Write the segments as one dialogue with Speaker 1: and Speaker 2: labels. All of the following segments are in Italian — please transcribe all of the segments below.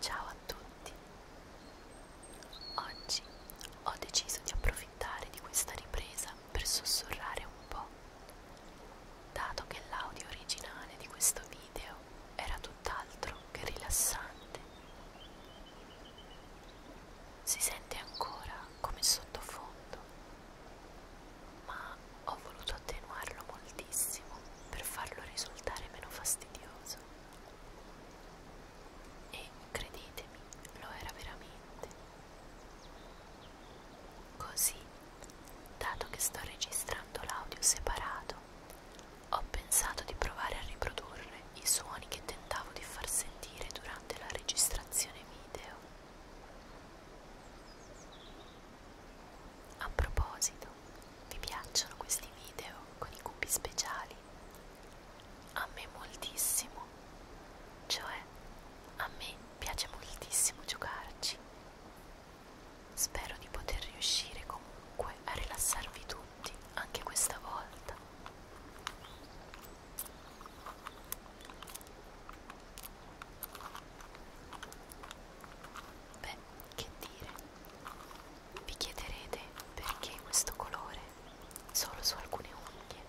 Speaker 1: Ciao a tutti! Oggi ho deciso di approfittare di questa ripresa per sussurrare un po', dato che l'audio originale di questo video era tutto tutt'altro che rilassante. Si sente ancora come sottofondo, ma ho voluto attenuarlo moltissimo per farlo risultare meno fastidioso. E credetemi, lo era veramente. Così, dato che sto registrando l'audio separato, ho pensato di provare a riprodurre i suoni che tentavo di far sentire durante la registrazione video. A proposito, vi piacciono questi video con i cubi speciali? A me moltissimo, cioè a me piace moltissimo giocarci Spero di poter riuscire comunque a rilassarvi tutti anche questa volta. Beh, che dire? Vi chiederete perché questo colore solo su alcune unghie?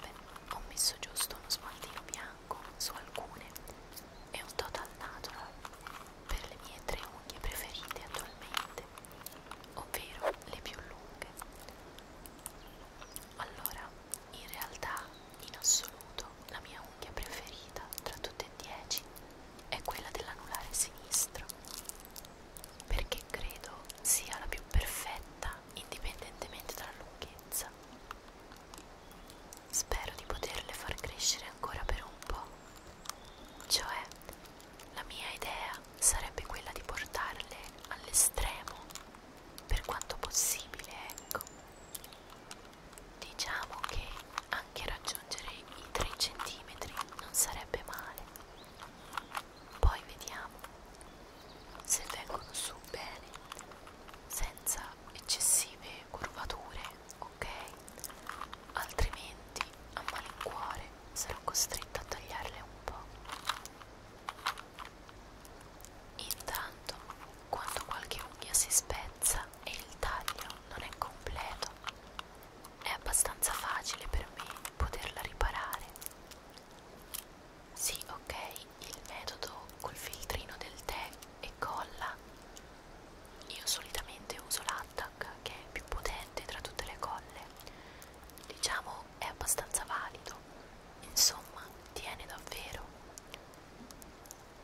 Speaker 1: Beh, ho messo giusto uno smaltino bianco su alcune è un total natural per le mie tre unghie preferite attualmente, ovvero le più lunghe. Allora, in realtà, in assoluto, la mia unghia preferita tra tutte e dieci è quella dell'anulare sinistro, perché credo sia la più perfetta indipendentemente dalla lunghezza. Spero di poterle far crescere ancora per un po', cioè, la mia idea sarebbe quella di portarle all'estremo per quanto possibile, ecco. Diciamo che anche raggiungere i 3 cm non sarebbe male. Poi vediamo se vengono su bene, senza eccessive curvature ok? Altrimenti a malincuore sarò costretta a tagliarle un po'. Intanto, quando qualche unghia si spezza e il taglio non è completo, è abbastanza facile per me poterla riparare. Sì, ok, il metodo col filtrino del tè e colla io solitamente uso l'attack che è più potente tra tutte le colle diciamo è abbastanza valido insomma tiene davvero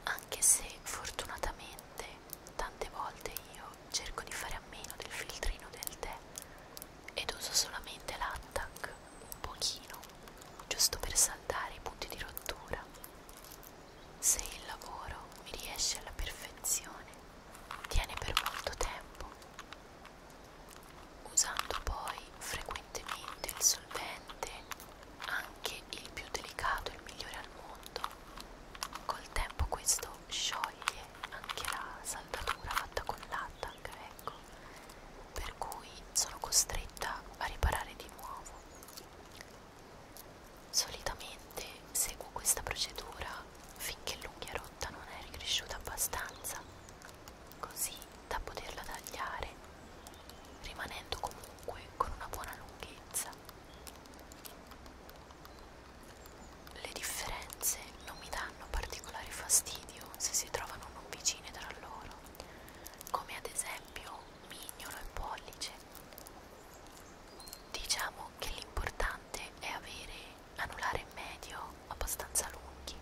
Speaker 1: anche se fortunatamente tante volte io cerco di fare a meno del filtrino del tè ed uso solamente l'attack un pochino giusto per saltare i punti di rottura se il lavoro mi riesce alla perfezione, tiene per molto tempo. Usando poi frequentemente il solvente, anche il più delicato e il migliore al mondo, col tempo questo scioglie anche la saldatura fatta con l'attac, ecco, per cui sono costretta a riparare di nuovo. Solitamente seguo questa procedura finché l'unghia rotta non è ricresciuta abbastanza, così da poterla tagliare, rimanendo comunque con una buona lunghezza. Le differenze non mi danno particolare fastidio se si trovano non vicine tra loro, come ad esempio mignolo e pollice. Diciamo che l'importante è avere anulare medio abbastanza lunghi,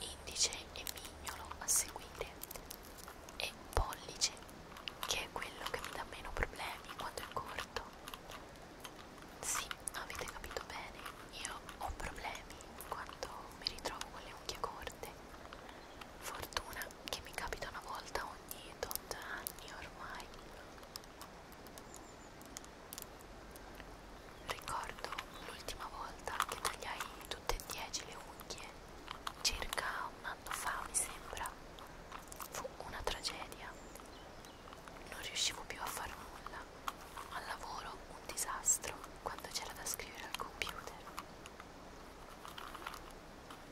Speaker 1: indice e mignolo a seguire e pollice che è quello che mi dà meno problemi quando è corto. Sì, avete capito bene, io ho problemi quando mi ritrovo con le unghie corte. Fortuna che mi capita una volta ogni tot anni ormai ricordo l'ultima volta che tagliai tutte e dieci le unghie circa un anno fa mi sembra fu una tragedia non riuscivo più a far nulla al lavoro un disastro quando c'era da scrivere al computer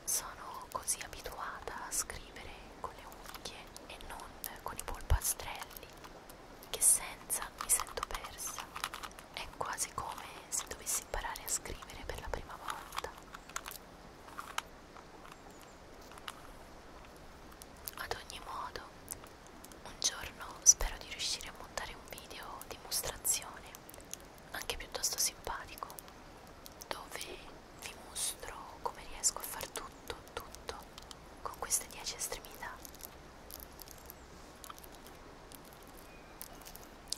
Speaker 1: sono così abituata a scrivere con le unghie e non con i polpastrelli che senza mi sento persa. È quasi come se dovessi imparare a scrivere per la prima volta. Ad ogni modo, un giorno spero di riuscire a montare un video dimostrazione anche piuttosto simpatico dove vi mostro come riesco a far tutto, tutto con queste 10 estremità.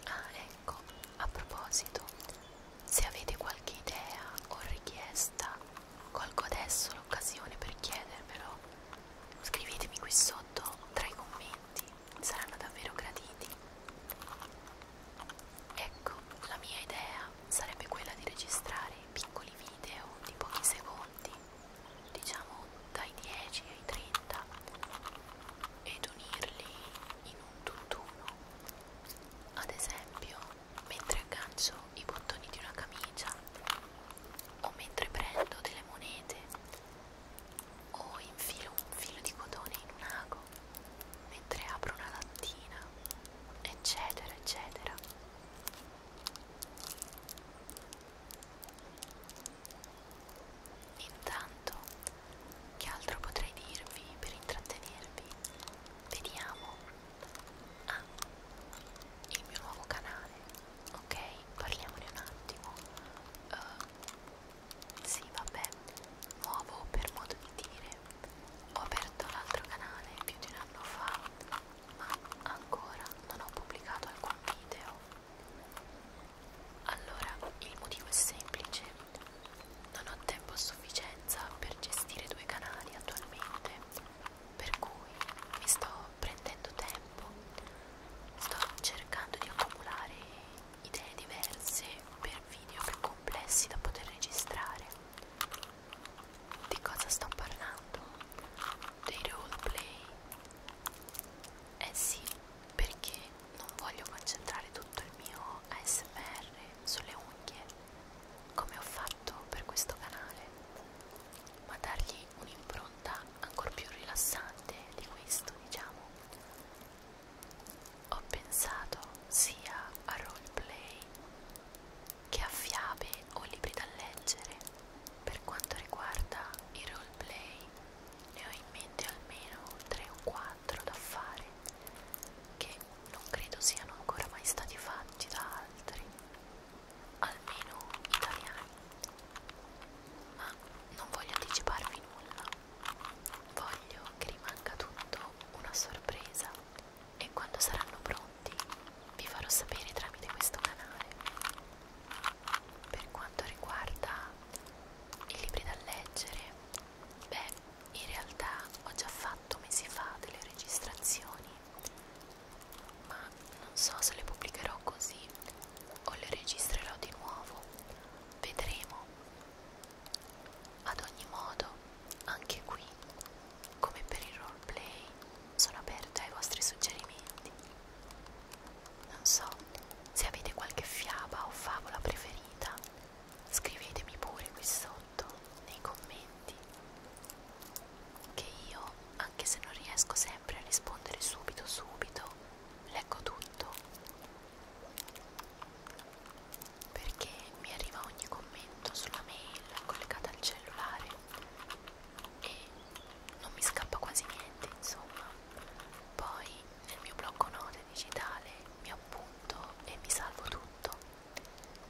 Speaker 1: Ah, ecco, a proposito, se avete qualche idea o richiesta, colgo adesso l'occasione per chiedermelo. Scrivetemi qui sotto tra i commenti saranno davvero graditi. Ecco, la mia idea sarebbe quella di registrare piccoli video di pochi secondi, diciamo dai 10 ai 30, ed unirli in un tutt'uno. Ad esempio, mentre aggancio i bottoni di una camicia, o mentre prendo delle monete, o infilo un filo di cotone in un ago mentre apro una lattina, eccetera, eccetera. Intanto, che altro potrei dirvi per intrattenervi? Vediamo. Ah, il mio nuovo canale. Ok, parliamone un attimo. Uh, sì, vabbè, nuovo per modo di dire. Ho aperto l'altro canale più di un anno fa, ma ancora non ho pubblicato alcun video. Allora, il motivo è semplice. Non ho tempo a sufficienza per gestire due canali attualmente, per cui mi sto prendendo tempo, sto cercando di accumulare idee diverse per video più complessi da poter registrare. Di cosa sto parlando? Dei roleplay? Eh sì, perché non voglio concentrare tutto il mio ASMR sulle unghie, come ho fatto per questo canale, ma dargli un'impronta ancora più rilassante di questo, diciamo ho pensato sia a roleplay che a fiabe o libri da leggere. Per quanto riguarda i roleplay, ne ho in mente almeno 3 o 4 da fare, che non credo siano ancora mai stati fatti da altri, almeno italiani. Ma non voglio anticiparvi nulla Voglio che rimanga tutto una sorpresa e quando saranno pronti vi farò sapere tramite questo canale. Per quanto riguarda i libri da leggere, beh, in realtà ho già fatto mesi fa delle registrazioni, ma non so se le pubblicherò così o le registrerò di nuovo. Vedremo. Ad ogni modo, anche qui, come per il roleplay, sono aperta ai vostri suggerimenti. Non so se avete qualche fiaba o favola preferita, scrivetemi pure qui sotto nei commenti, che io, anche se non riesco sempre a rispondere subito subito, leggo tutto perché mi arriva ogni commento sulla mail collegata al cellulare e non mi scappa quasi niente insomma poi nel mio blocco note digitale mi appunto e mi salvo tutto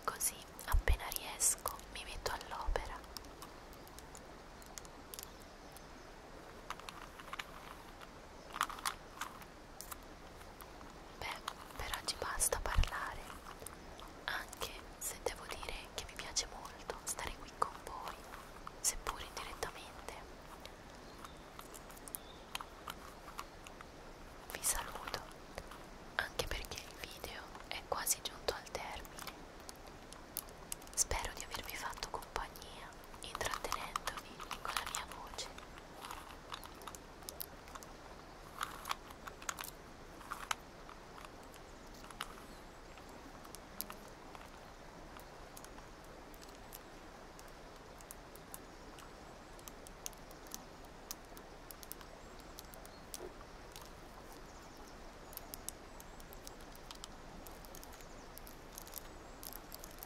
Speaker 1: così appena riesco mi metto all'opera Beh, per oggi basta parlare, anche se devo dire che mi piace molto stare qui con voi, seppur indirettamente. Vi saluto, anche perché il video è quasi giunto al termine. Spero di avervi fatto compagnia intrattenendovi con la mia voce.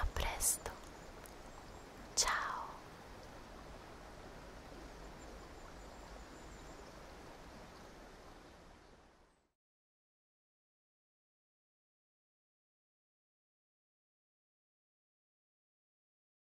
Speaker 1: A presto, ciao.